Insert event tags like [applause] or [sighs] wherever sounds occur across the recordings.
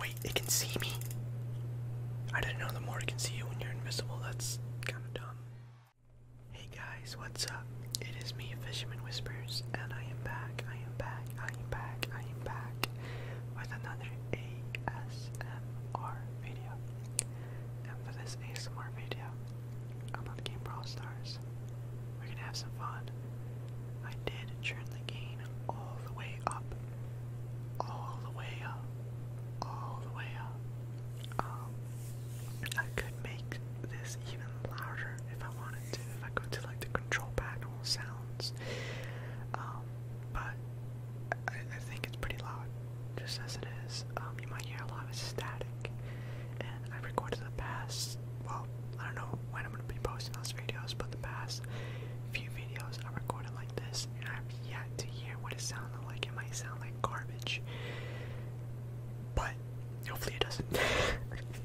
Wait, it can see me? I didn't know the more it can see you when you're invisible. That's kind of dumb. Hey guys, what's up? It is me, Fisherman Whispers, and I am back, I am back, I am back, I am back with another ASMR video. And for this ASMR video, about the game Brawl We're gonna have some fun. I did turn the gain all the way up. All the way up. All the way up. Um, I could make this even louder if I wanted to. If I go to like the control panel sounds. Um, but I think it's pretty loud, just as it is. Um, you might hear a lot of static I recorded the past, well, I don't know when I'm going to be posting those videos, but the past few videos I recorded like this, and I've yet to hear what it sounded like. It might sound like garbage, but hopefully it doesn't.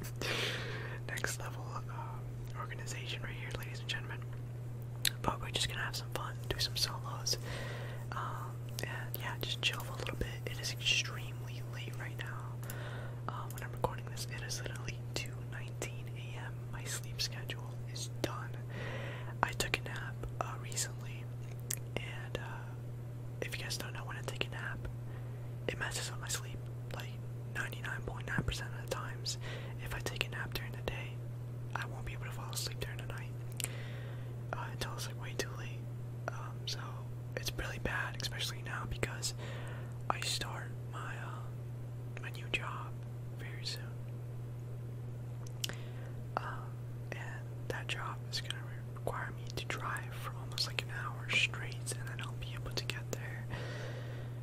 [laughs] Next level uh, organization right here, ladies and gentlemen. But we're just gonna have some fun, do some solos, um, and yeah, just chill for a little bit. It is extremely late right now. Um, when I'm recording this, it is literally 2:19 a.m. My sleep schedule is done. I took a nap uh, recently, and uh, if you guys don't know when I take a nap, it messes up my sleep. Like 99.9% .9 of the times, if I take a nap during the day, I won't be able to fall asleep during the night uh, until it's like way too late. Um, so it's really bad, especially now because I start my uh, my new job very soon, uh, and that job is gonna require me to drive for almost like an hour straight, and then I will be able to get there.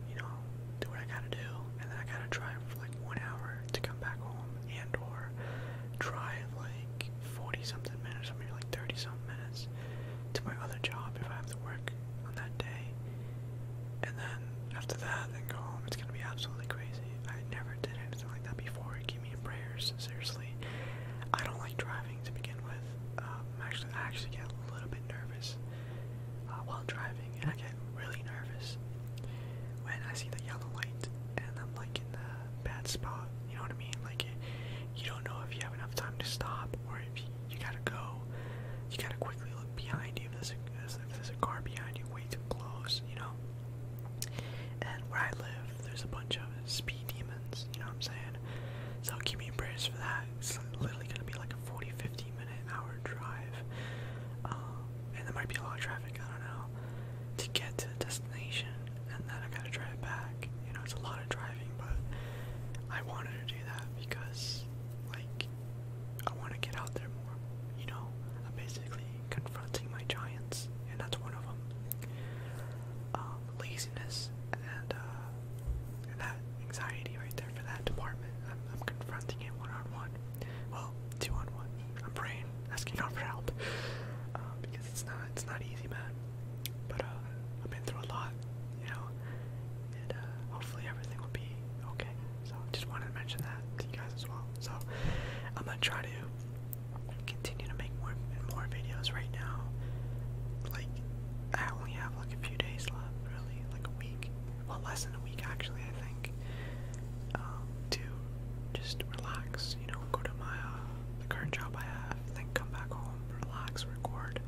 You know, do what I gotta do, and then I gotta drive for like one hour to come back home, and or drive like forty something minutes, or maybe like thirty something minutes to my other job if I have to work on that day. And then after that, then go home. It's gonna be absolutely crazy. I never did anything like that before. Keep me in prayers, seriously. I don't like driving to begin with. Um, actually, I actually get a little bit nervous uh, while driving, and I get really nervous when I see the yellow light and I'm like in the bad spot. You know what I mean? Like, it, you don't know if you have enough time to stop or if you gotta go. You gotta quickly look behind you if there's a, car behind you way too close, you know. And where I live, there's a bunch of speed demons, you know what I'm saying? So keep me in prayers for that. It's literally gonna be like a 40, 50 minute hour drive. Um, and there might be a lot of traffic, I don't know, to get to the destination. And then I gotta drive back. You know, it's a lot driving, but I wanted to do that because, like, I want to get out there more. You know, I'm basically confronting my giants, and that's one of them. Um, laziness uh, and that anxiety right there for that department. I'm, confronting it one on one. Well, two on one. I'm praying, asking God [laughs] for help, uh, because it's not it's not easy, man. But uh, I've been through a lot, you know, and uh, hopefully everything will be okay. So just wanted to mention that to you guys as well. So I'm gonna try to continue to make more and more videos right now. Like I only have like a few days left, really, like a week, well less than a week actually, I think. Um, to just relax, you know, go to my uh, the current job I have then come back home, relax, record.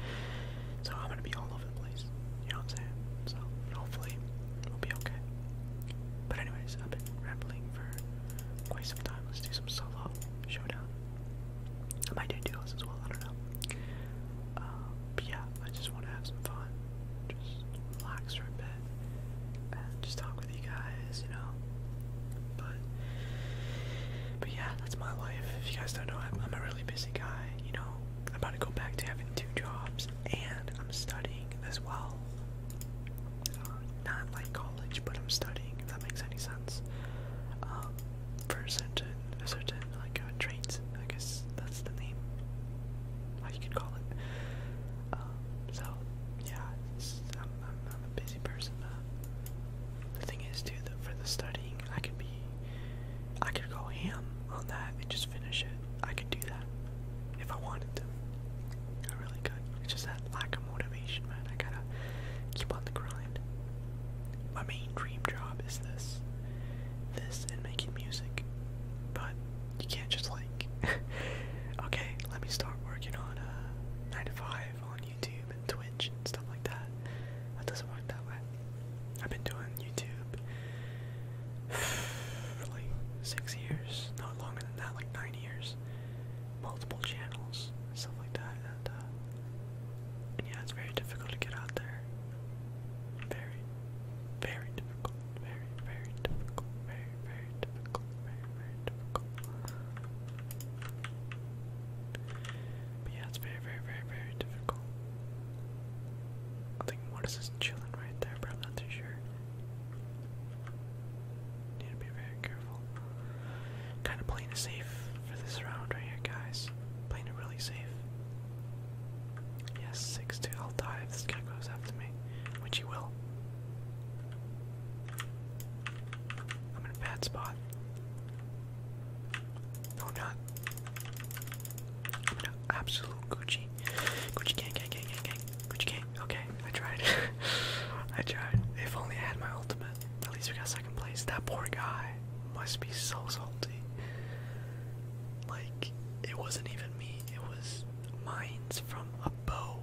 So I'm gonna be all over the place. You know what I'm saying? So hopefully we'll be okay. But anyways, I've been rambling for quite some time. Let's do some solo showdown. I might do duos as well. I don't know. Um, but yeah, I just want to have some fun, just relax for a bit, and just talk with you guys. You know. But but yeah, that's my life. If you guys don't know, I'm, a real really busy guy, you know. I'm about to go back to having two jobs, and I'm studying as well. Uh, not like college, but I'm studying. If that makes any sense. Um, for a certain, a certain like uh, trait, I guess that's the name. How you could call it. Um, so yeah, it's, I'm, I'm, I'm a busy person. Uh, the thing is, too, that for the studying, I could be I could go ham on that and just finish it. I could do that if I wanted to. I really could. It's just that lack of motivation, man. I gotta keep on the grind. My main dream job is this. This and making music. But you can't just like [laughs] okay, let me start working on uh 9 to 5 on YouTube and Twitch and stuff like that. That doesn't work that way. I've been doing YouTube [sighs] for like six years, not longer than that, like nine years. Multiple channels, stuff like that, and, uh, yeah, it's very difficult to get out there. Very, very difficult. Very, very difficult. Very, very difficult. Very, very difficult. But yeah, it's very very, very, very, difficult. I think Mortis is chilling right there, but I'm not too sure. Need to be very careful. Kind of playing it safe for this round right here, guys. Playing it really safe. Yes, six two. I'll die if this guy goes after me, which he will. I'm in a bad spot. No, i absolute Gucci. Gucci gang, gang, gang, gang, Gucci gang. Okay, I tried. [laughs] I tried. If only I had my ultimate. At least we got second place. That poor guy must be so salty. Like, it wasn't even me. It was mines from a bow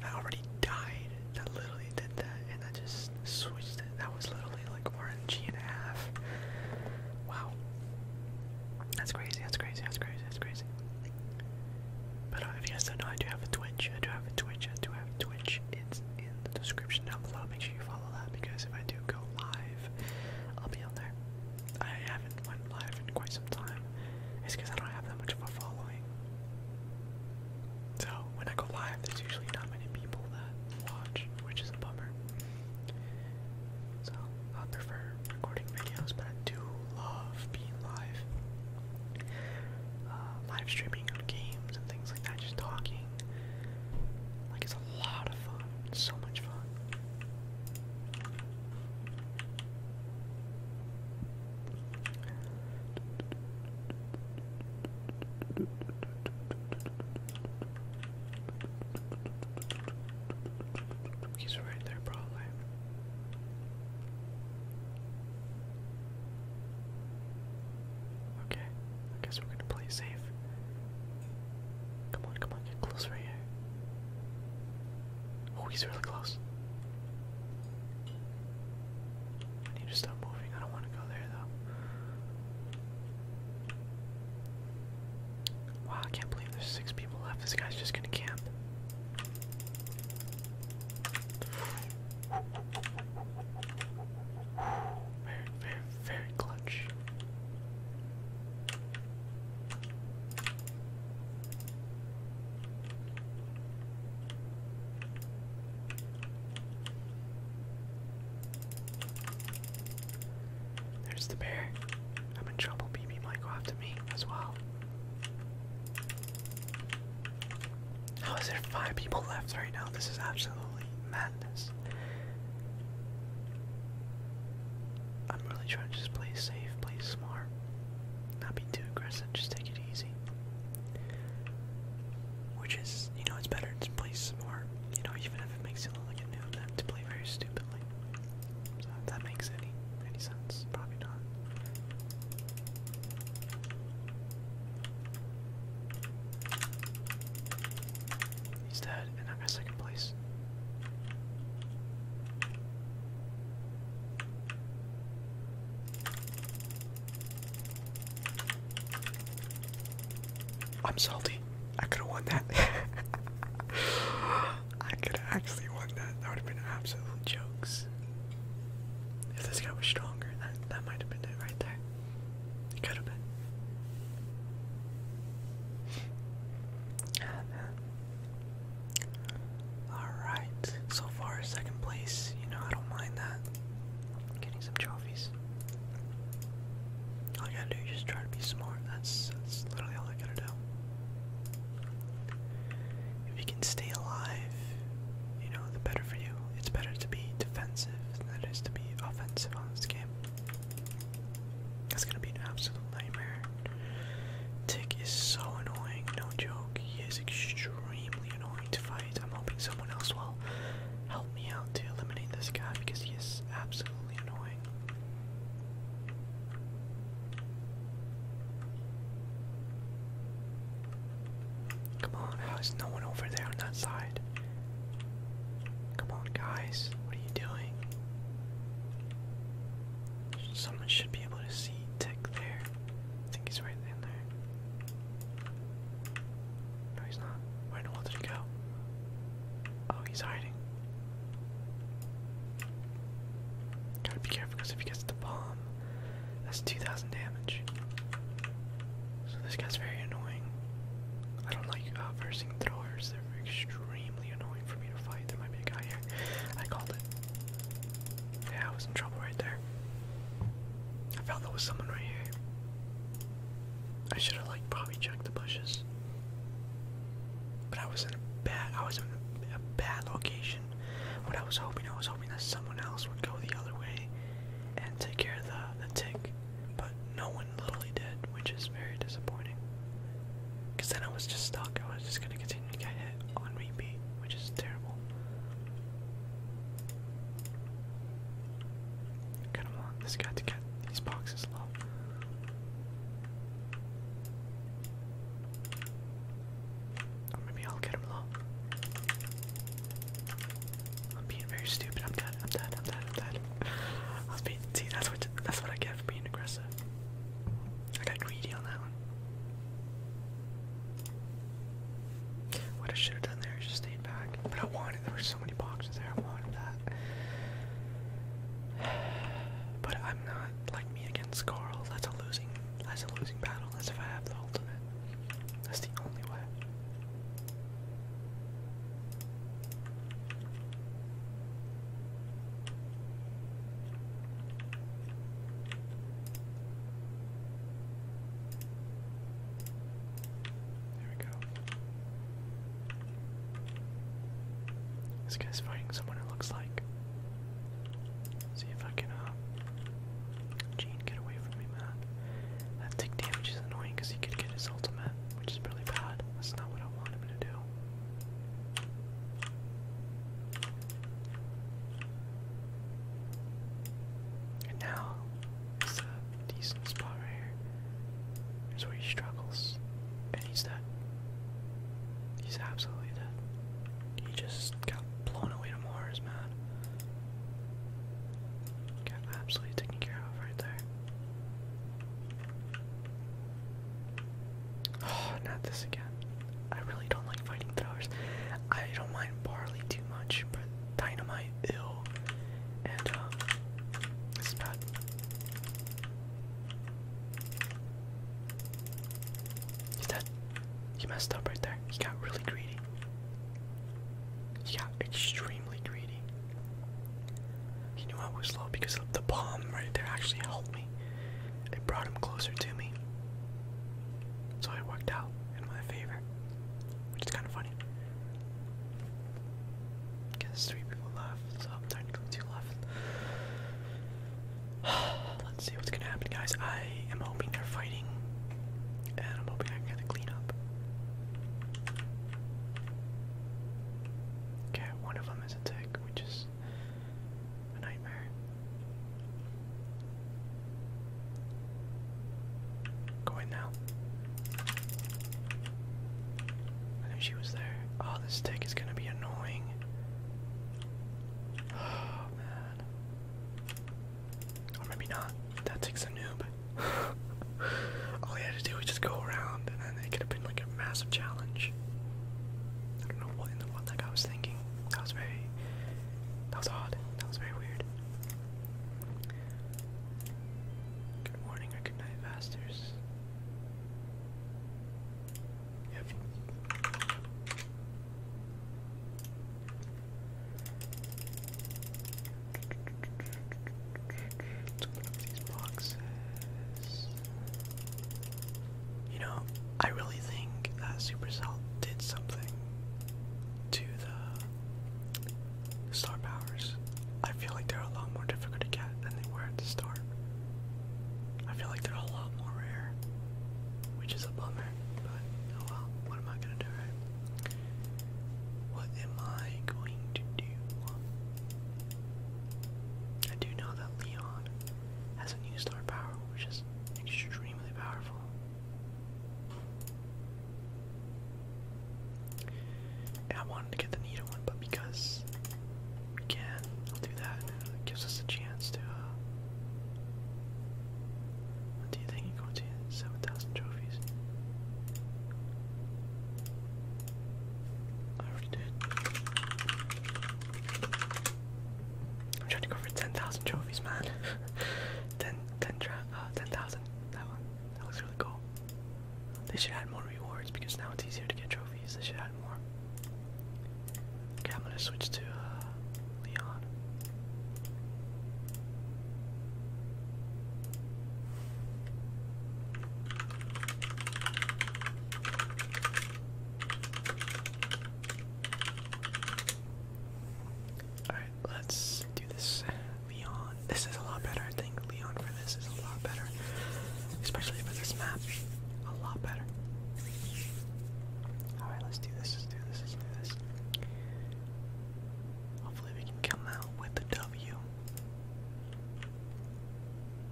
that already died. That little literally did that and I just switched it. That was literally like RNG and a half. Wow. That's crazy, that's crazy, that's crazy, that's crazy. But uh, if you guys don't know, I do have a Twitch. I do have a Twitch. I do have a Twitch. It's in the description down below. Make sure you follow that because if I do go live, I'll be on there. I haven't went live in quite some time. It's because I don't have that much of a following. So when I go live, there's usually not many people that watch, which is a bummer. So I prefer recording videos, but I do love being live. Uh, live streaming on games and things like that, just talking. Like it's a lot of fun. so much fun. He's right there, probably. Okay, I guess we're gonna play safe. Come on, come on, get close right here. Oh, he's really close. I need to stop moving. I don't want to go there though. Wow, I can't believe there's six people left. This guy's just gonna camp. Very, very, very clutch. There's the bear. I'm in trouble. BB might go after me as well. How is there five people left right now? This is absolutely madness. I'm really trying to just play safe, play smart, not be too aggressive, just take it easy which is, you know, it's better to play some more. you know, even if it makes you look like a noob, than to play very stupidly. So if that makes any any sense, probably not. He's dead, and I am in second place. I'm salty. I could have won that. [laughs] I could have actually won that. That would have been absolute jokes. If this guy was stronger, that that might have been it right there. could have been. Alright. So far second place, you know, I don't mind that getting some trophies. All I gotta do is just try to be smart. That's that's literally all I gotta do. If you can stay alive, you know, the better for you. It's better to be defensive than it is to be offensive on this game. That's gonna be an absolute nightmare. Tick is so annoying, no joke. He is extremely annoying to fight. I'm hoping someone else will help me out to eliminate this guy because he is absolutely annoying. Come on, how is no one over there on that side? Come on, guys, what are you doing? Someone should be able to see Tick there. I think he's right in there. No, he's not. Where did he go? Oh, he's hiding. Gotta be careful because if he gets the bomb, that's 2,000 damage. So this guy's very annoying. I don't like uh, versing they're extremely annoying for me to fight. There might be a guy here. I called it. Yeah, I was in trouble right there. I felt there was someone right here. I should have like probably checked the bushes. But I was in a bad I was in a bad location. But I was hoping I was hoping that someone else would go the other way and take care of the, the tick. But no one literally did, which is very disappointing. Cause then I was just stuck. I was just gonna continue to get hit on repeat, which is terrible. Come on, this got to get these boxes love. Or maybe I'll get him low. I'm being very stupid. I'm dead. I'm dead. I'm dead. I'm dead. I was being. See, that's what that's what I get for being aggressive. I got greedy on that one. What I should have done there is just stayed back. But I wanted. There were so many boxes there. I wanted that. [sighs] But I'm not like me against Carl. That's a losing. That's a losing battle. That's if I have the ultimate. That's the only way. There we go. This guy's fighting someone it looks like. See if I can uh, Gene get away from me, man. That tick damage is annoying because he could get his ultimate, which is really bad. That's not what I want him to do. And now it's a uh, decent spot right here. Here's where he struggles. And he's dead. He's absolutely dead. He just got blown away to Mars, man. Got absolutely taken care of right there. Oh, [sighs] not this again. I really don't like fighting throwers. I don't mind barley too much, but dynamite, ew. He's dead. He messed up right there. He got really greedy. He got extremely greedy. He knew I was low because the bomb right there actually helped me. It brought him closer to me. So it worked out in my favor, which is kind of funny. Okay, three people left, so I'm trying to go two left. [sighs] Let's see what's gonna happen, guys. I am hoping they're fighting, and I'm hoping I can get a cleanup. Okay, one of them is a tick, which is a nightmare. Go in now. I knew she was there. Oh, this stick is gonna be annoying. [sighs] Oh man. Or maybe not. That takes a noob. [laughs] All he had to do was just go around, and it could have been like a massive challenge. I don't know what in the what like I was thinking. That was very. That was odd. That was very weird. Good morning or good night, masters. Yep. open up these boxes. You know, I really think that Supercell did something to the Star powers. I feel like they're a lot more difficult to get than they were at the start. I feel like they're a lot more rare, which is a bummer, but oh well, what am I gonna do, What am I going to do? I do know that Leon has a new star power, which is extremely powerful. I wanted to get the needle one, but because we I'll do that. gives us a chance to. Uh, do you think you're going to? 7,000 trophies. I already did. I'm trying to go for 10,000 trophies, man. [laughs] 10, 10,000. Uh, that one. That looks really cool. They should add more rewards because now it's easier to get trophies. They should add more. Okay, I'm gonna switch to uh, Leon. Alright, let's do this. Leon. This is a lot better, I think. Leon for this is a lot better. Especially for this map. A lot better. Alright, let's do this, do this, do this. Hopefully we can come out with a W.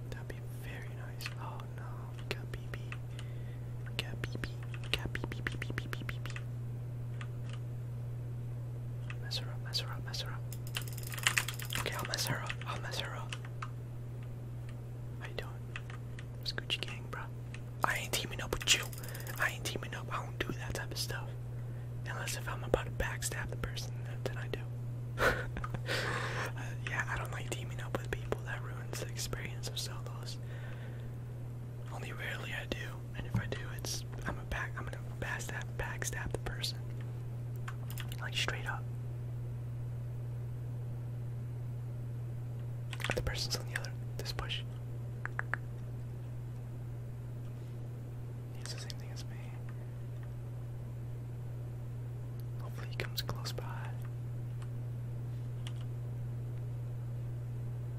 That'd be very nice. Oh no, we got BB. We got BB. We got BB, BB, BB, BB, BB. Mess her up, mess her up, mess her up. Okay, I'll mess her up. I'll mess her up. How you doing? It's Gang, bro. I ain't teaming up with you. I ain't teaming up. I don't do that type of stuff. Unless if I'm about to backstab the person, then I do. [laughs] Uh, yeah, I don't like teaming up with people. That ruins the experience of solos. Only rarely I do, and if I do, it's I'm gonna backstab backstab the person. Like straight up. The person's on the other this push. It's the same thing as me. Hopefully he comes close by.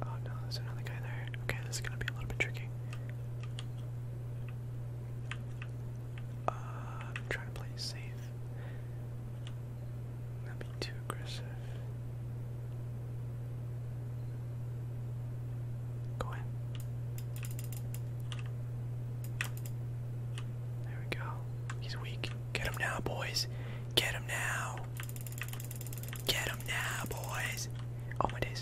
Oh no, there's another guy there. Okay, this is gonna be a little bit tricky. I'm uh, trying to play safe. Not be too aggressive. Go in. There we go. He's weak. Get him now, boys. Get him now. Get him now, boys. Oh my days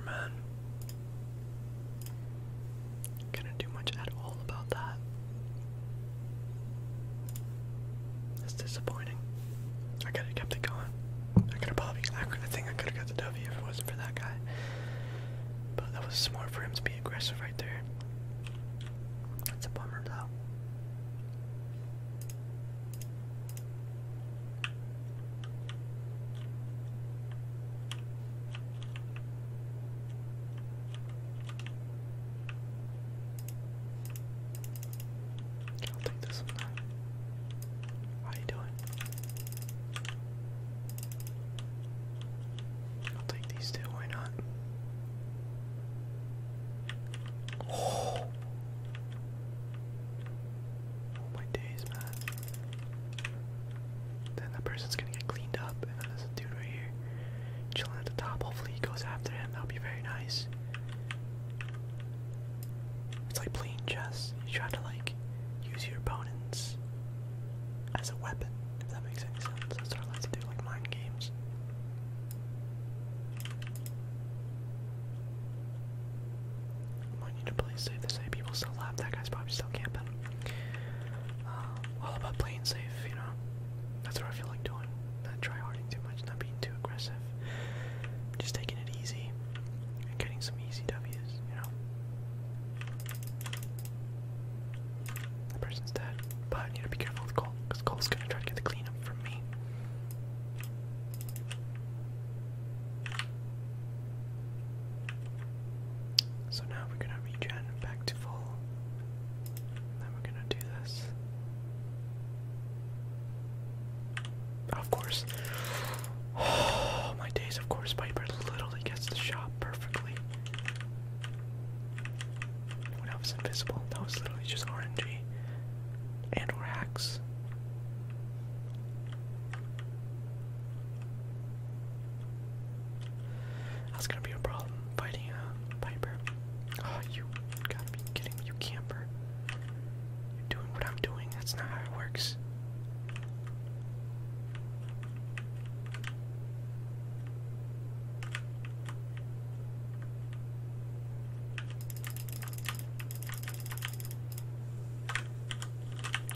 remember, man. Couldn't do much at all about that. It's disappointing. I could have kept it going. I could have probably, I, I think I could have got the W if it wasn't for that guy. But that was smart for him to be aggressive right there. That's a bummer, though. I'll take this one now. How you I'll take these two, why not? Oh. Oh my days, man. Then that person's gonna get cleaned up, and then there's a dude right here chilling at the top. Hopefully, he goes after him. That would be very nice. It's like playing chess. You try to like use your opponents as a weapon, if that makes any sense. That's what I like to do, like mind games want need to play safe this A. People still laugh. That guy's probably still camping. Uh, all about playing safe, you know. That's what I feel like doing. Not trying harding too much, not being too aggressive. Just taking it easy and getting some easy W's, you know. The person's dead, but I need to be careful with Cole, because Cole's gonna try to get the cleanup from me. So now we're gonna regen back to full. Then we're gonna do this. Of course. [sighs] my days, of course, Piper literally gets the shot perfectly. When I was invisible, that was literally just RNG. And hacks. That's gonna be a problem fighting uh, a ah, you gotta be kidding me, you camper. You're doing what I'm doing, that's not how it works.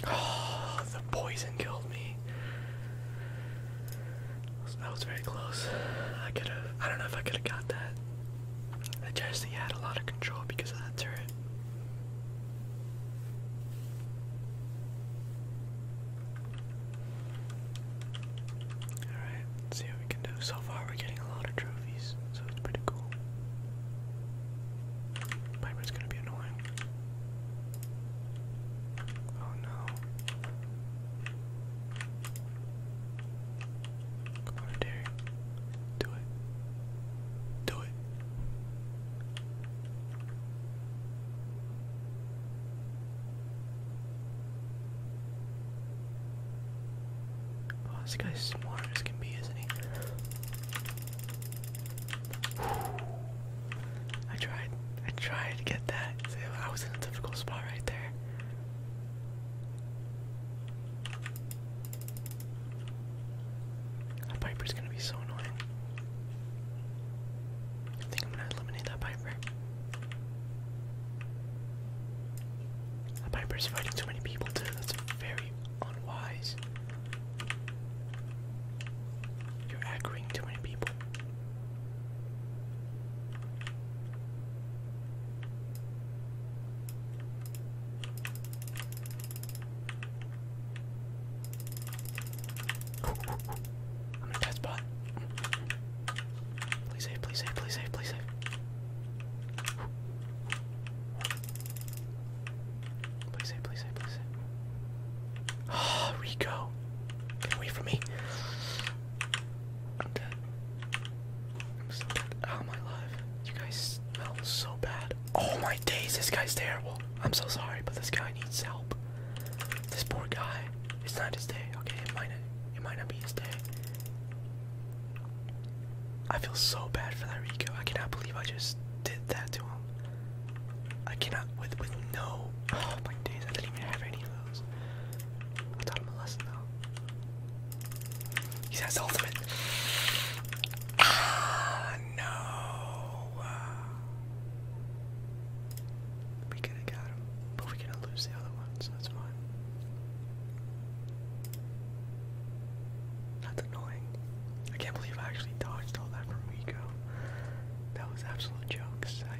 Oh, the poison killed me. That was very close. I could have. I don't know if I could have got that. The Jesse had a lot of control because of that turret. Alright, see what we can do. So far, we're getting a lot of trophies so it's pretty cool. Piper's gonna be annoying. Oh no. Come on, Derry. Do it. Do it. Oh, this guy's smart as can be, isn't he? I tried. I tried to get that. I was in a difficult spot right there. That Piper's gonna be so annoying. I think I'm gonna eliminate that Piper. That Piper's fighting too many people That's very unwise. You're aggroing too many people. I'm a bad spot. Please save, please save, please save, please save. Please save, please save, please save. Ah, oh, Rico. Get away from me. I'm dead. I'm so You guys smell so bad. Oh my days, this guy's terrible. I'm so sorry, but this guy needs help. This poor guy. It's not his day. Okay, it might it might not be his day. I feel so bad for that Rico. I cannot believe I just did that to him. I cannot with with no oh my days, I didn't even have any of those. I taught him a lesson though. He has the ultimate. Ah no. We could have got him, but we're gonna lose the other one, that's fine. That's annoying. I can't believe I actually dodged all that from Rico. That was absolute jokes. I,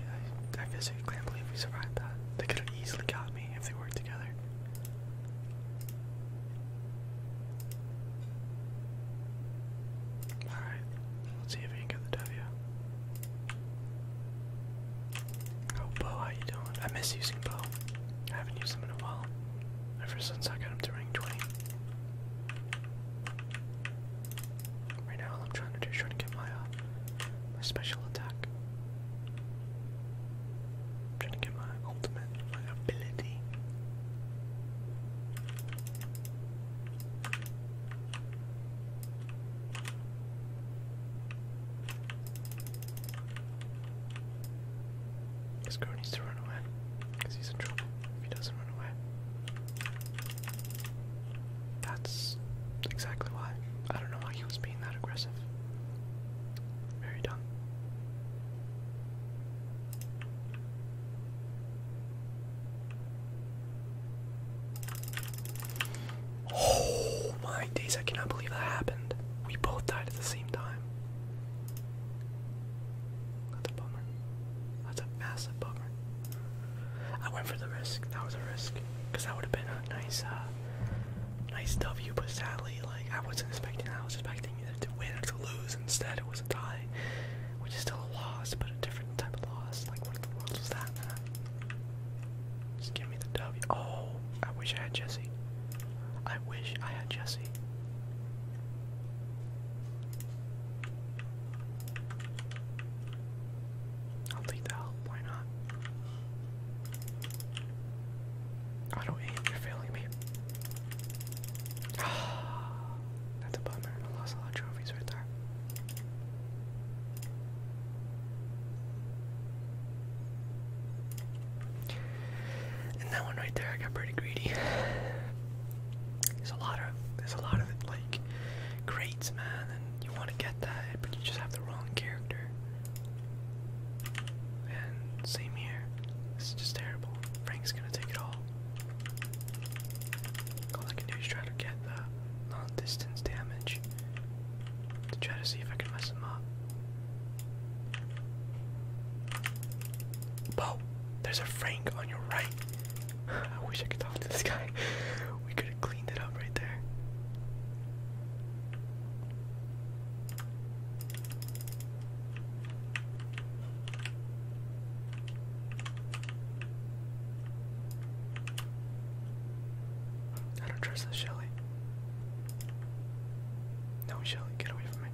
I, I physically can't believe we survived that. They could have easily got me if they worked together. Alright, let's see if we can get the W. Oh, Bo, how you doing? I miss using Bo. I haven't used him in a while. Ever since I got him to rank 20. Right now, all I'm trying to do is trying to get my, uh, my special attack. trying to get my ultimate, my ability. This girl needs to run away because he's in trouble if he doesn't run away. That's exactly why. I don't know why he was being that aggressive. Very dumb. Oh my days, I cannot believe that happened. We both died at the same time. That's a bummer. That's a massive bummer. I went for the risk. That was a risk. Because that would have been a nice, uh, nice W, but sadly, like, I wasn't expecting that. I was expecting either to win or to lose. Instead, it was a tie, which is still a loss, but a different type of loss. Like, what in the world was that, Just give me the W. Oh, I wish I had Jesse. I wish I had Jesse. I'll take the help, why not? Auto aim, you're failing me. [sighs] That's a bummer. I lost a lot of trophies right there. And that one right there, I got pretty greedy. There's a lot of there's a lot of like crates, man, and you want to get that, but you just have the wrong character. And same here. This is just terrible. Frank's gonna take it all. All I can do is try to get the non-distance damage try to see if I can mess him up. Bow. There's a Frank on your right. [sighs] I wish I could talk to this guy. [laughs] We could have cleaned it up right there. I don't trust this Shelly. No, Shelly, get away from me.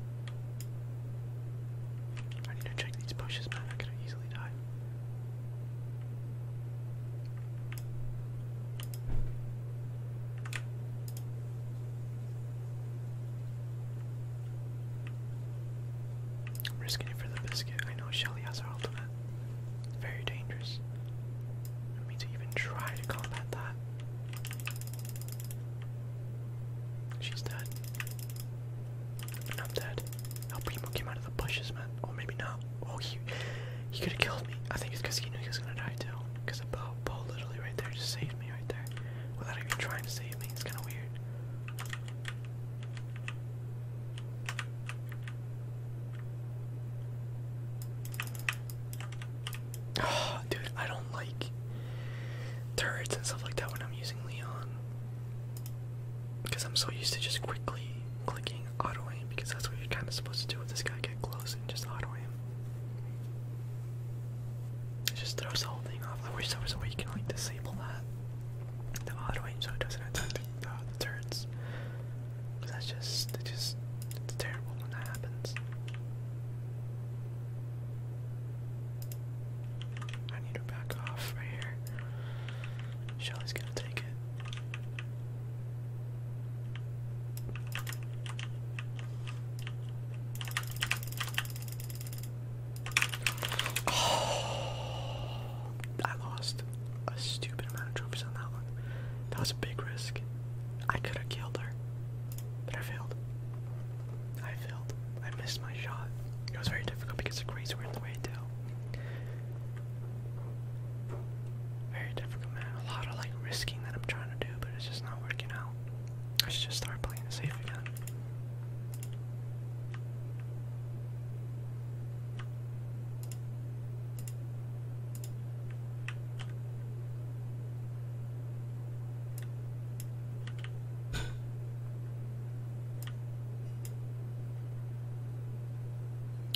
I need to check these bushes, man. I could easily died. am risking it for the biscuit. I know Shelly has her ultimate. very dangerous. I to even try to combat that. She's dead. I'm dead. El came out of the bushes, man. Or maybe not. Oh, he he could have killed me. I think it's because he knew he was gonna die too. Because the bow, literally right there just saved me right there, without even trying to save me. It's kind of weird. Oh, [sighs] dude, I don't like turrets and stuff like that when I'm using Leon. Because I'm so used to just quickly clicking auto aim, because that's what you're kind of supposed to do with this guy get close and just auto aim. It just throws the whole thing off. I wish there was a way you can like disable that. The auto aim so it doesn't attack the, uh, the turrets. Cause that's just, it just, terrible when that happens. I need her back off right here. Shelly's gonna take it. [sighs] I lost a stupid amount of trophies on that one. That was a big risk. I could have killed her, but I failed. I failed. I missed my shot. It was very difficult because the greens were in the way too. Very difficult, man. A lot of like risking that I'm trying to do, but it's just not working out. I should just start playing safe again.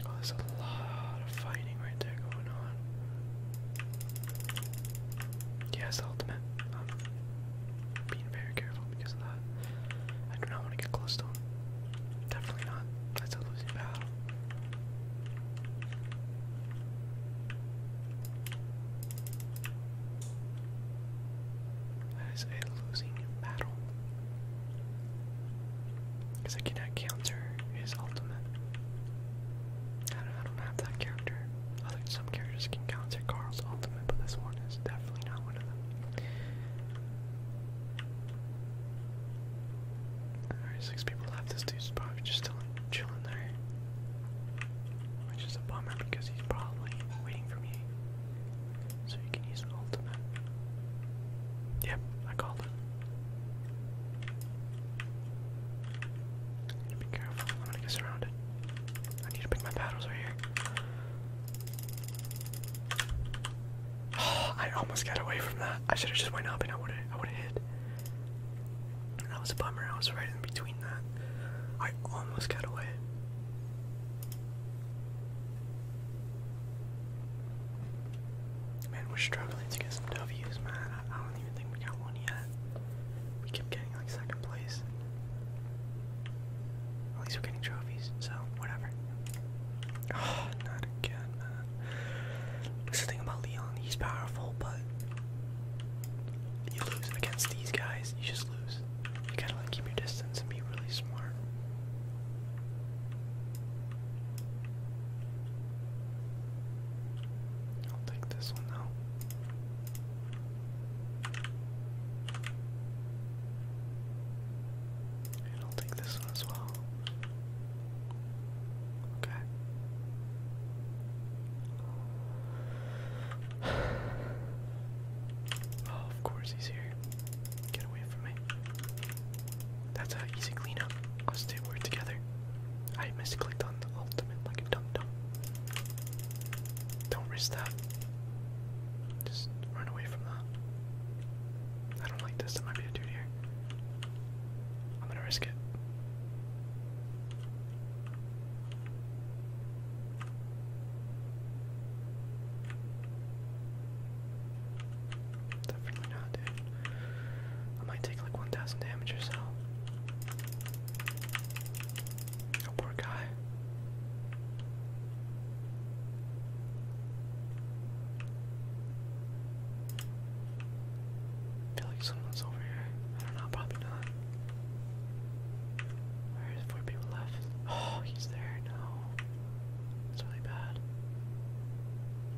Oh, there's a lot of fighting right there going on. Yeah, the ultimate. I'm being very careful because of that. I do not want to get close to him. Definitely not. That's a losing battle. That is a losing battle. Because I cannot counter his ultimate. I don't, have that character. some characters can counter Carl's ultimate, but this one is definitely not one of them. Alright, six people left. This dude's probably just chilling there. Which is a bummer because he's probably waiting for me. So you can use an ultimate. Yep, I called it. be careful, I'm gonna get surrounded. I need to pick my battles right here. [sighs] I almost got away from that. I should have just went up and I would have I would have hit. that was a bummer. I was right in between I almost got away. Man, we're struggling to get some W's, man. I, don't even think we got one yet. We kept getting like second place. At least we're getting trophies, so whatever. Ah, not again, man. the thing about Leon. He's powerful, but you lose against these guys. You just lose you gotta like keep your distance and be really smart. I'll take this one now. I'll take this one as well. Okay. [sighs] Oh, of course he's here. Get away from me. That's an easy cleanup. Us two were together. I misclicked on the ultimate like a dum-dum. Don't risk that. Just run away from that. I don't like this. There might be a dude I'm gonna risk it. Definitely not, dude. I might take like 1,000 damage or so. Oh, poor guy. I feel like someone's over here. I don't know, probably not. Where four people left? Oh, he's there. No. It's really bad.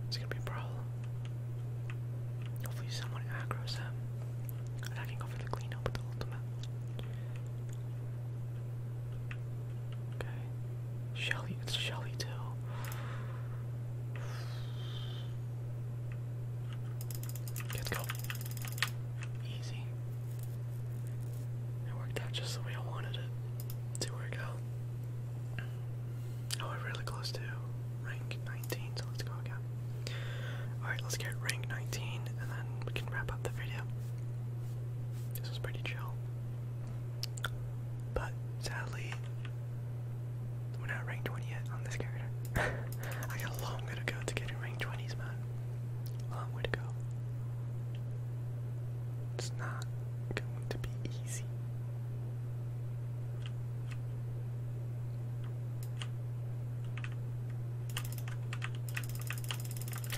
It's gonna be a problem. Hopefully someone aggro's him. I can go for the cleanup with the ultimate. Okay. Shelly, it's Shelly too. let's go. Easy. It worked out just the way I wanted it to work out. Oh, we're really close to rank 19, so let's go again. Alright, let's get rank 19 and then we can wrap up the video. This was pretty chill. But sadly, we're not ranked 20 yet on this character. [laughs] I got a long way to go to get getting rank 20s, man. Long way to go. It's not going to be easy.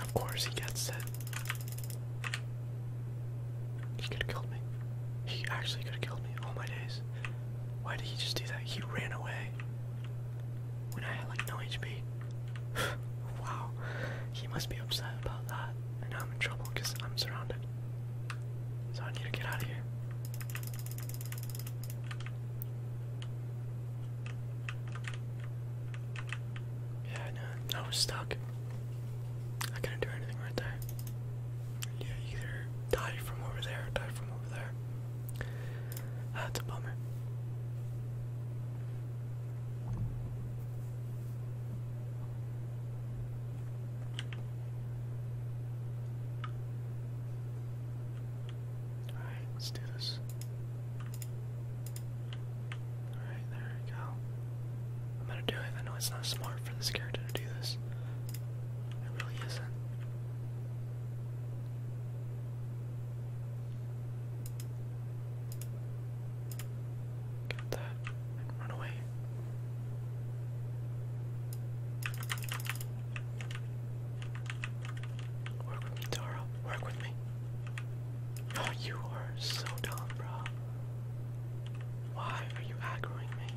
Of course, he gets it. He could have killed me. He actually could have killed me. All my days. Why did he just do that? He ran away when I had like no HP. [sighs] wow, he must be upset about that. And now I'm in trouble because I'm surrounded. So I need to get out of here. Yeah, no, I was stuck. I couldn't do anything right there. Yeah, either die from over there die from that's ah, a bummer. Alright, let's do this. Alright, there we go. I'm gonna do it. I know it's not smart for this character to do this. It really isn't. Get that run away. Work with me, Tara. Work with me. Oh, you are so dumb, bro. Why are you aggroing me?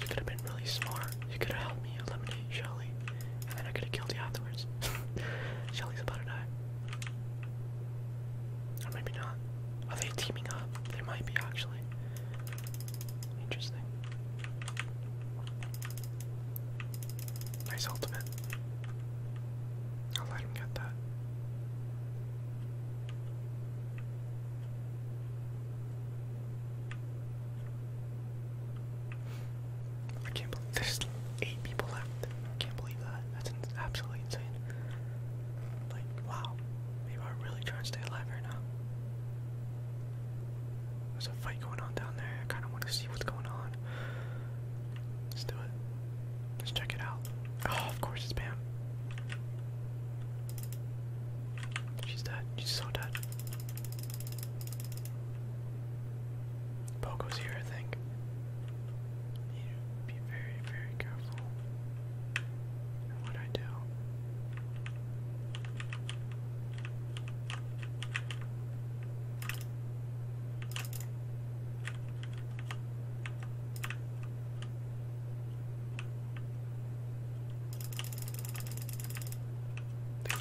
You could have been really smart. You could have helped me eliminate Shelly and then I could have killed you afterwards. [laughs] Shelly's about to die. Or maybe not. Are they teaming up? They might be actually. Interesting. Nice ultimate. I'll let him get that. I can't believe there's eight people left. I can't believe that. That's absolutely insane. Like, wow. Maybe I'm really trying to stay alive right now. There's a fight going on down there. I kind of want to see what's going on. Let's do it. Let's check it out. Oh, of course it's Pam. She's dead. She's so dead. Pogo's here, I think. You be very, very careful in what I do.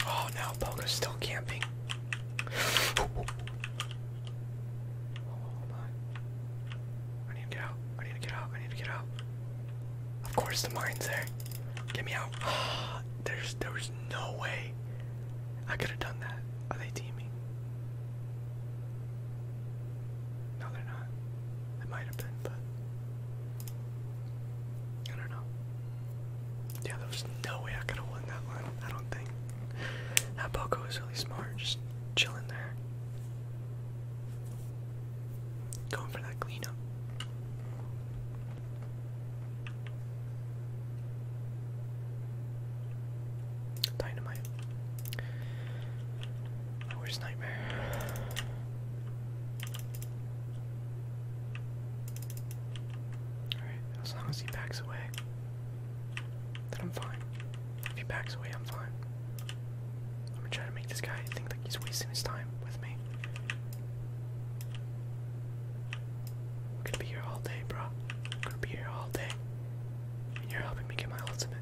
Oh, now Poco's still camping. I need to get out. I need to get out. I need to get out. Of course the mine's there. Get me out. [sighs] There's there was no way. I could have done that. Are they teaming? No, they're not. It might have been, but I don't know. Yeah, there was no way I could have won that one. I don't think. That Boko was really smart, just chilling there. Going for that cleanup. Dynamite. My nightmare. Alright, as long as he backs away, then I'm fine. If he backs away, I'm fine. I'm gonna try to make this guy think that he's wasting his time with me. I'm gonna be here all day, bro. I'm gonna be here all day. And you're helping me get my ultimate.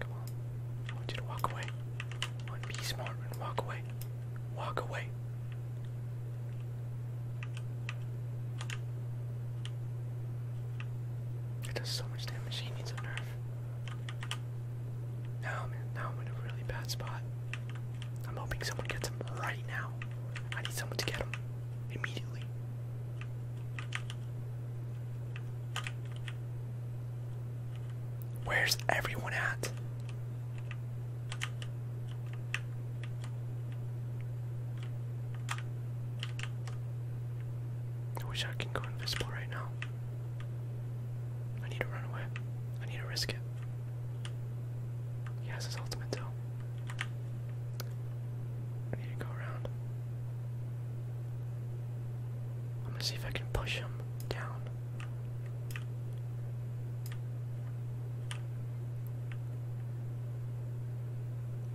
Come on. I want you to walk away be smart and walk away. Walk away. It does so much damage. He needs a nerf. Now i now I'm in a really bad spot. I'm hoping someone gets him right now. I need someone to get him immediately. Where's everyone at? I wish I can go invisible right now. I need to run away. I need to risk it. He his ultimate too. I need to go around. I'm gonna see if I can push him down.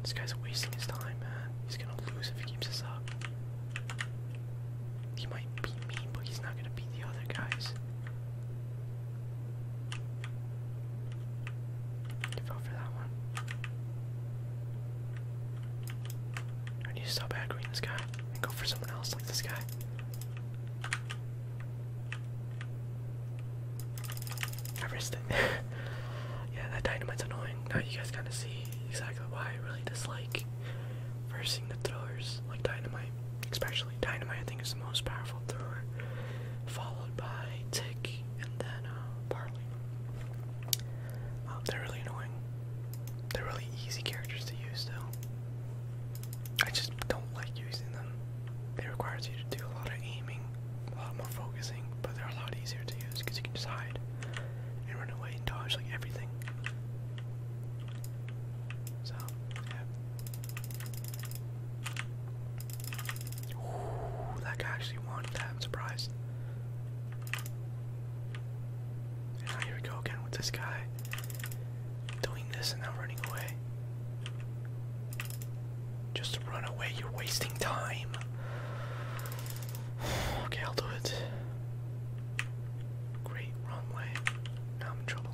This guy's wasting his time, man. He's gonna lose if he keeps this up. He might beat me, but he's not gonna beat the other guys. You for that one. I need to stop aggroing this guy go for someone else like this guy. [laughs] I risked it. [laughs] yeah, that dynamite's annoying. Now you guys kind of see exactly why I really dislike versing the throwers like dynamite. Especially dynamite, I think is the most powerful thrower, followed by tick and then uh, barley. Um, they're really annoying. They're really easy characters to use, though. I just don't like using them. It requires you to do a lot of aiming, a lot more focusing, but they're a lot easier to use because you can just hide and run away and dodge like everything. So, yeah. Ooh, that guy actually wanted I'm surprised. And here we go again with this guy doing this and now running away. Just to run away, you're wasting time. [sighs] okay, I'll do it. Great, wrong way. Now I'm in trouble.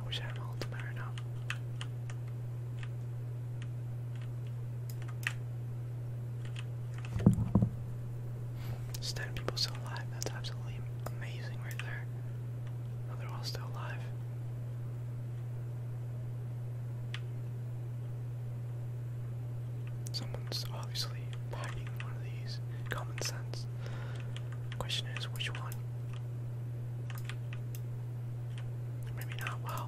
I wish I had an ultimate now. Just 10 people still alive. That's absolutely amazing right there. they're all still alive. Someone's obviously hiding one of these. Common sense. Question is, which one? Maybe not. Wow.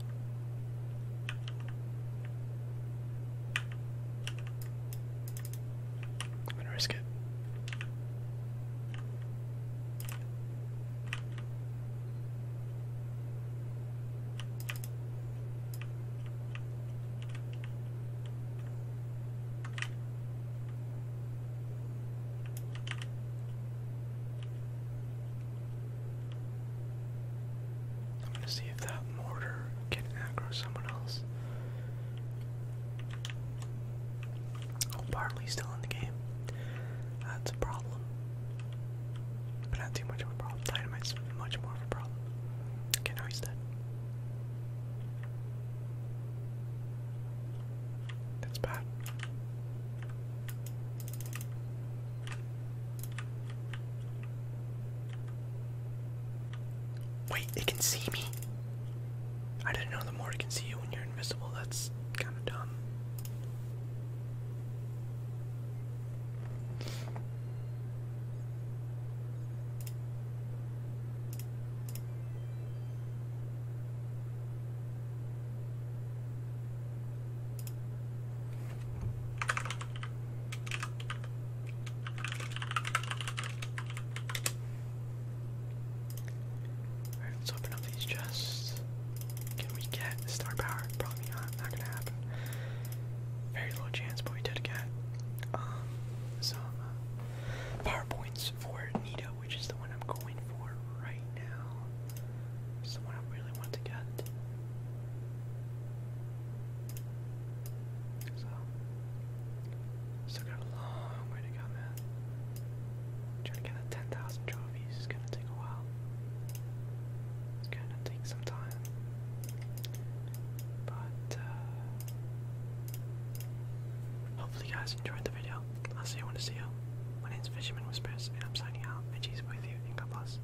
I'm gonna risk it. I'm going to see if that mortar can aggro someone else. Oh, Barley's still in the game. That's a problem. But not too much of a problem. Dynamite's much more of a problem. Okay, now he's dead. That's bad. Wait, it can see me? I didn't know the more it can see you when you're invisible. That's kind of dumb let's open up these Just Can we get the star power? Probably not, not gonna happen. Very low chance, but we did get um, some uh, power points for Nita, which is the one I'm going for right now. It's the I really want to get. So, still got a long way to go, man. Trying to get the 10,000 trophies is gonna take a while. It's gonna take some time. But, uh, hopefully, you guys enjoyed the video. I'll see you when I see you. My name is Fisherman with Whispers, and I'm signing out. And she's with you, and God bless.